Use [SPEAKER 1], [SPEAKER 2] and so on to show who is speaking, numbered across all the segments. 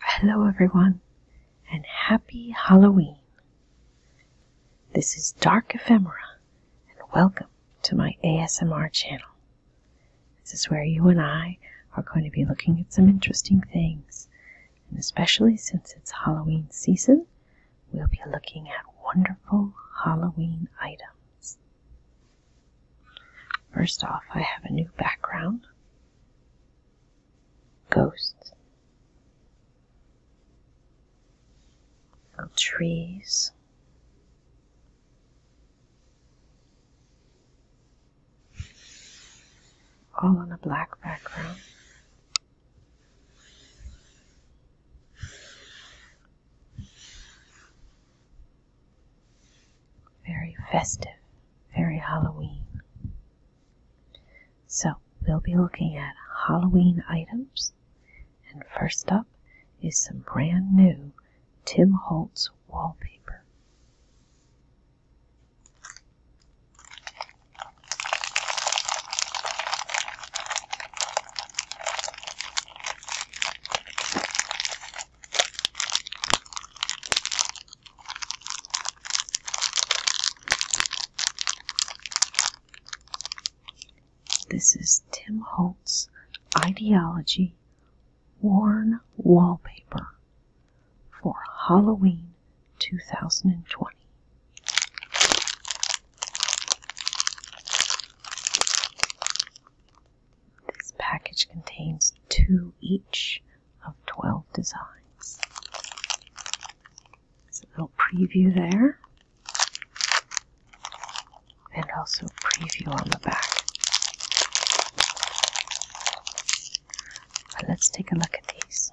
[SPEAKER 1] Hello, everyone, and happy Halloween. This is Dark Ephemera, and welcome to my ASMR channel. This is where you and I are going to be looking at some interesting things, and especially since it's Halloween season, we'll be looking at wonderful Halloween items. First off, I have a new background. Ghosts. Trees. All on a black background very festive, very Halloween. So, we'll be looking at Halloween items, and first up is some brand new Tim Holtz wallpaper. This is Tim Holtz Ideology Worn Wallpaper for Halloween 2020. This package contains two each of 12 designs. It's a little preview there. And also preview on the back. But let's take a look at these.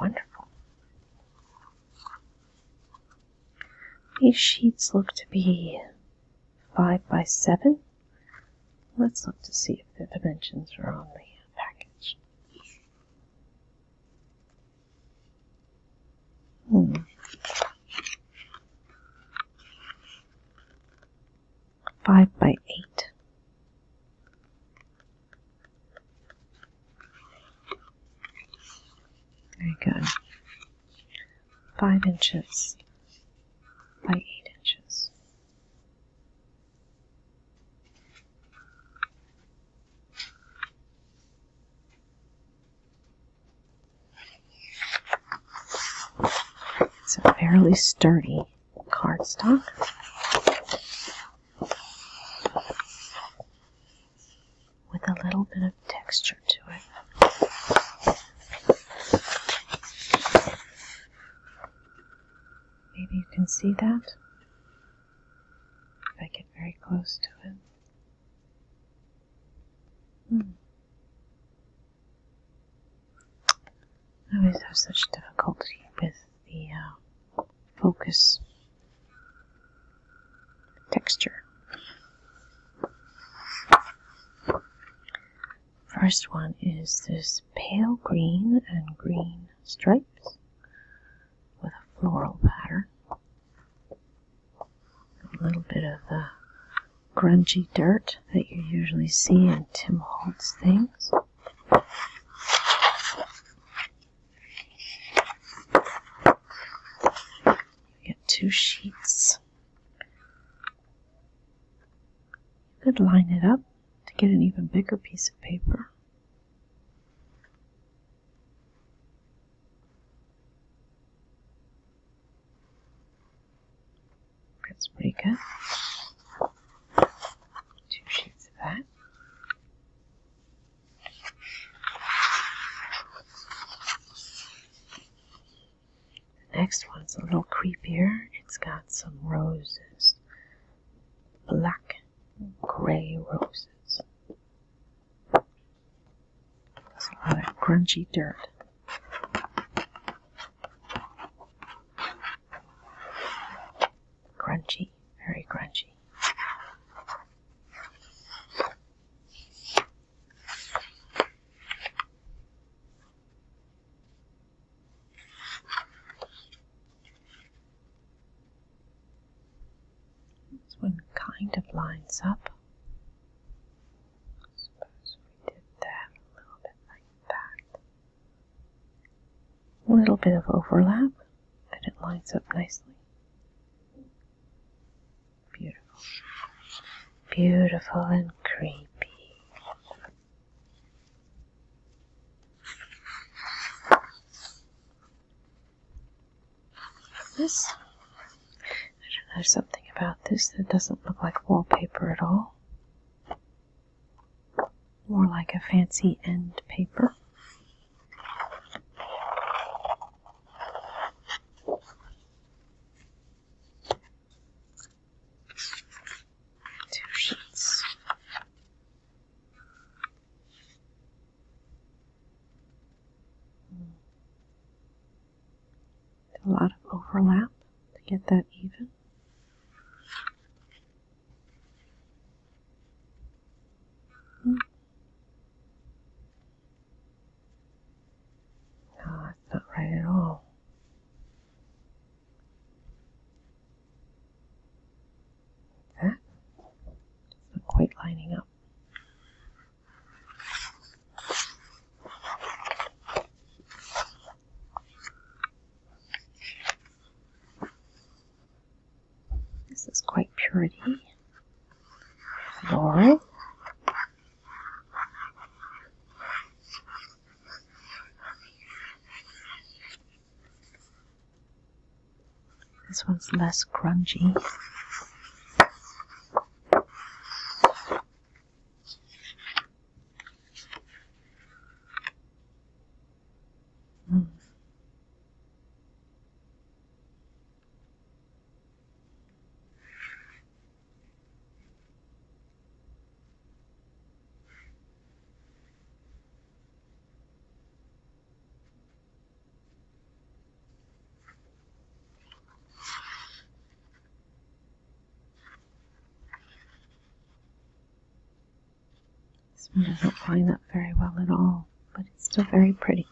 [SPEAKER 1] Wonderful. These sheets look to be five by seven. Let's look to see if the dimensions are on the package. Hmm. Five by eight. Very good. Five inches by eight inches. It's a fairly sturdy cardstock. With a little bit of texture to it. Maybe you can see that? If I get very close to it. Hmm. I always have such difficulty with the uh, focus texture. First one is this pale green and green stripes with a floral pattern. A little bit of the grungy dirt that you usually see in Tim Holtz things. You get two sheets. You could line it up to get an even bigger piece of paper. That's pretty good. Two sheets of that. next one's a little creepier. It's got some roses black and grey roses. There's a lot of crunchy dirt. Crunchy, very crunchy. This one kind of lines up. suppose we did that a little bit like that. A little bit of overlap, and it lines up nicely. Beautiful. Beautiful and creepy. This? I don't know, there's something about this that doesn't look like wallpaper at all. More like a fancy end paper. Two sheets. A lot of overlap to get that even. Hmm. No, that's not right at all. That? It's not quite lining up. This is quite purity. Laurel. This one's less crunchy. Mm. This one doesn't line up very well at all, but it's still very pretty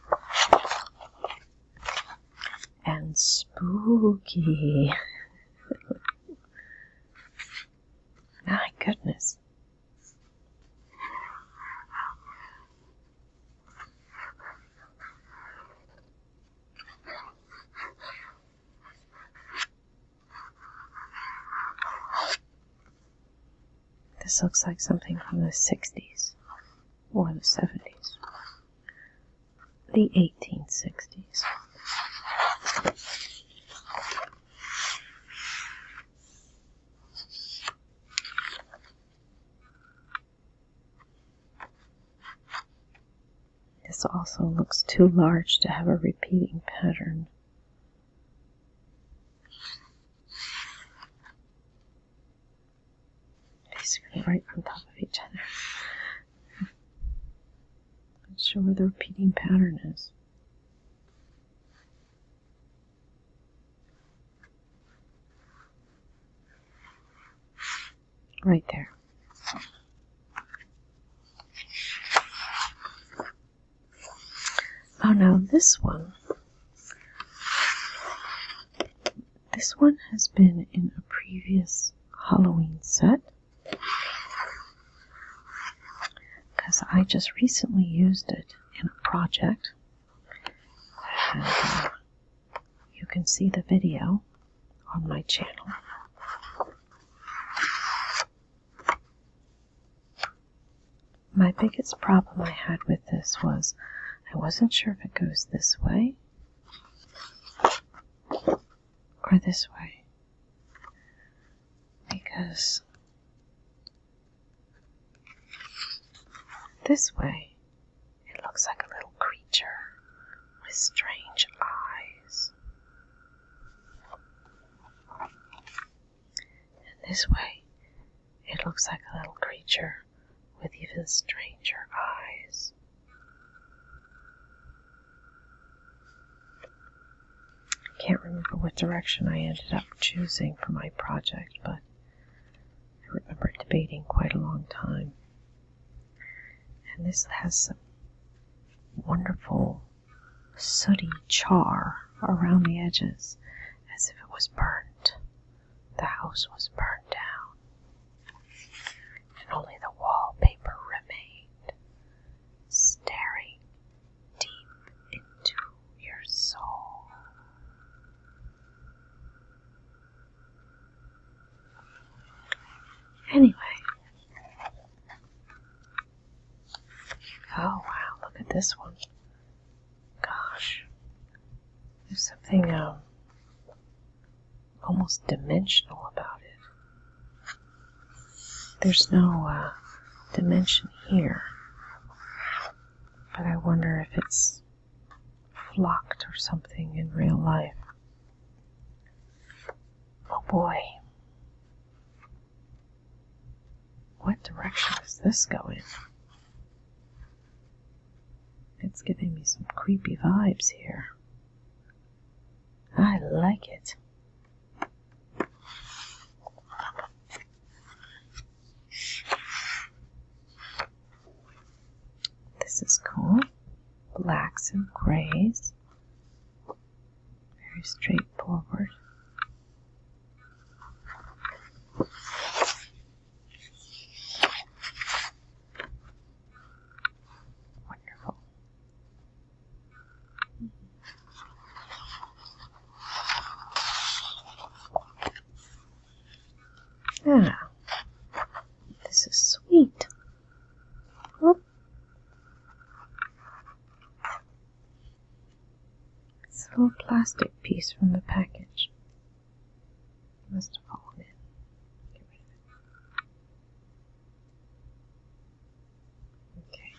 [SPEAKER 1] and spooky. My goodness. This looks like something from the 60s or the 70s the 1860s. This also looks too large to have a repeating pattern basically right on top of each other. Not sure where the repeating pattern is. Right there. Oh, now this one this one has been in a previous Halloween set because I just recently used it in a project. Uh, you can see the video on my channel. My biggest problem I had with this was I wasn't sure if it goes this way or this way because this way it looks like a little creature with strange eyes, and this way it looks like a little creature with even stranger eyes. I can't remember what direction I ended up choosing for my project, but I remember debating quite a long time. And this has some wonderful sooty char around the edges as if it was burnt. The house was burned down, and only the wallpaper remained, staring deep into your soul. Anyway. Oh wow, look at this one gosh, there's something um, almost dimensional about it. There's no uh, dimension here, but I wonder if it's flocked or something in real life. Oh boy. What direction is this going? It's giving me some creepy vibes here. I like it. This is cool. Blacks and grays. Very straightforward. Wonderful. Ah, mm this is sweet. Whoop. Oh. It's a little plastic piece from the package must have fallen in. Okay.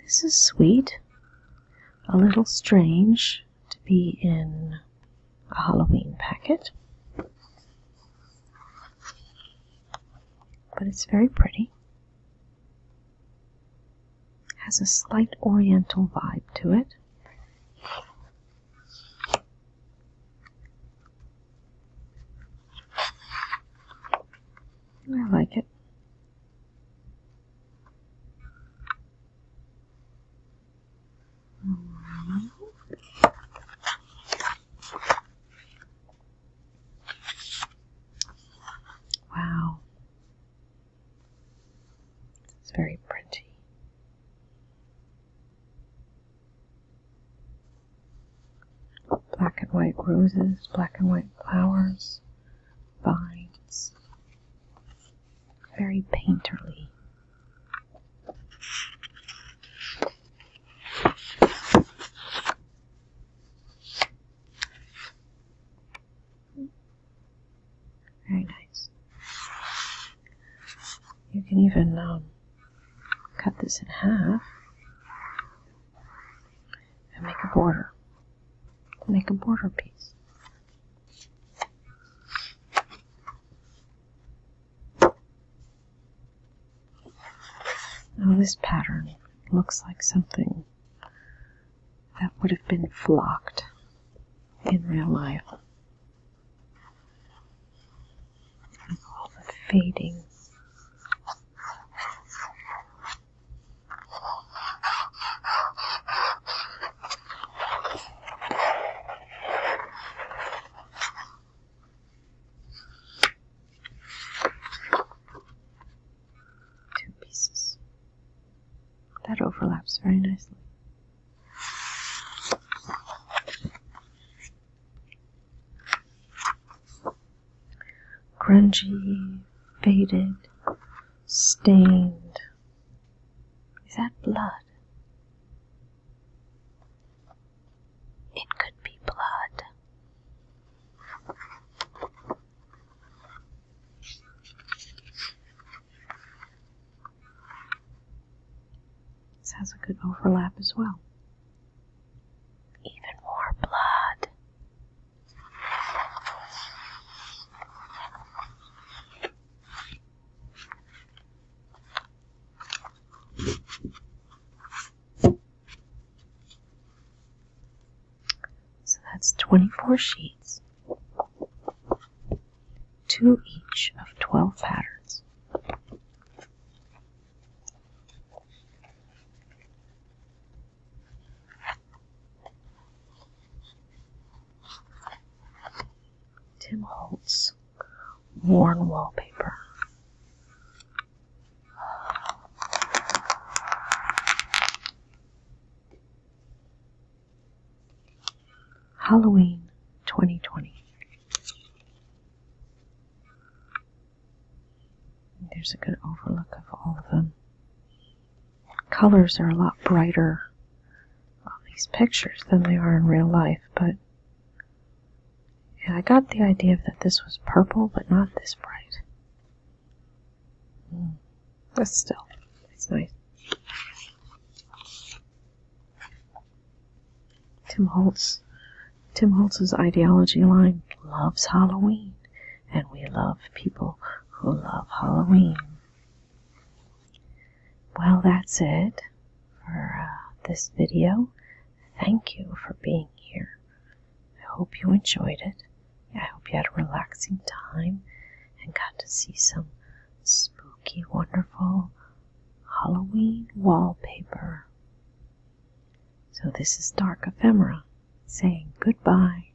[SPEAKER 1] This is sweet. A little strange to be in a Halloween packet. But it's very pretty. Has a slight oriental vibe to it. I like it. Wow, it's very pretty. Black and white roses, black and white flowers, vines. Very painterly. Very nice. You can even um, cut this in half and make a border. Make a border piece. Now this pattern looks like something that would have been flocked in real life. all the fading two pieces. That overlaps very nicely. Grungy, faded, stained. Is that blood? It could be blood. This has a good overlap as well. Even more blood. So that's 24 sheets, two each of 12 patterns. Tim Holtz worn wallpaper. Halloween 2020. There's a good overlook of all of them. Colors are a lot brighter on these pictures than they are in real life, but and I got the idea that this was purple, but not this bright. Mm. But still, it's nice. Tim Holtz, Tim Holtz's ideology line loves Halloween, and we love people who love Halloween. Well, that's it for uh, this video. Thank you for being here. I hope you enjoyed it. I hope you had a relaxing time and got to see some spooky, wonderful Halloween wallpaper. So, this is Dark Ephemera saying goodbye.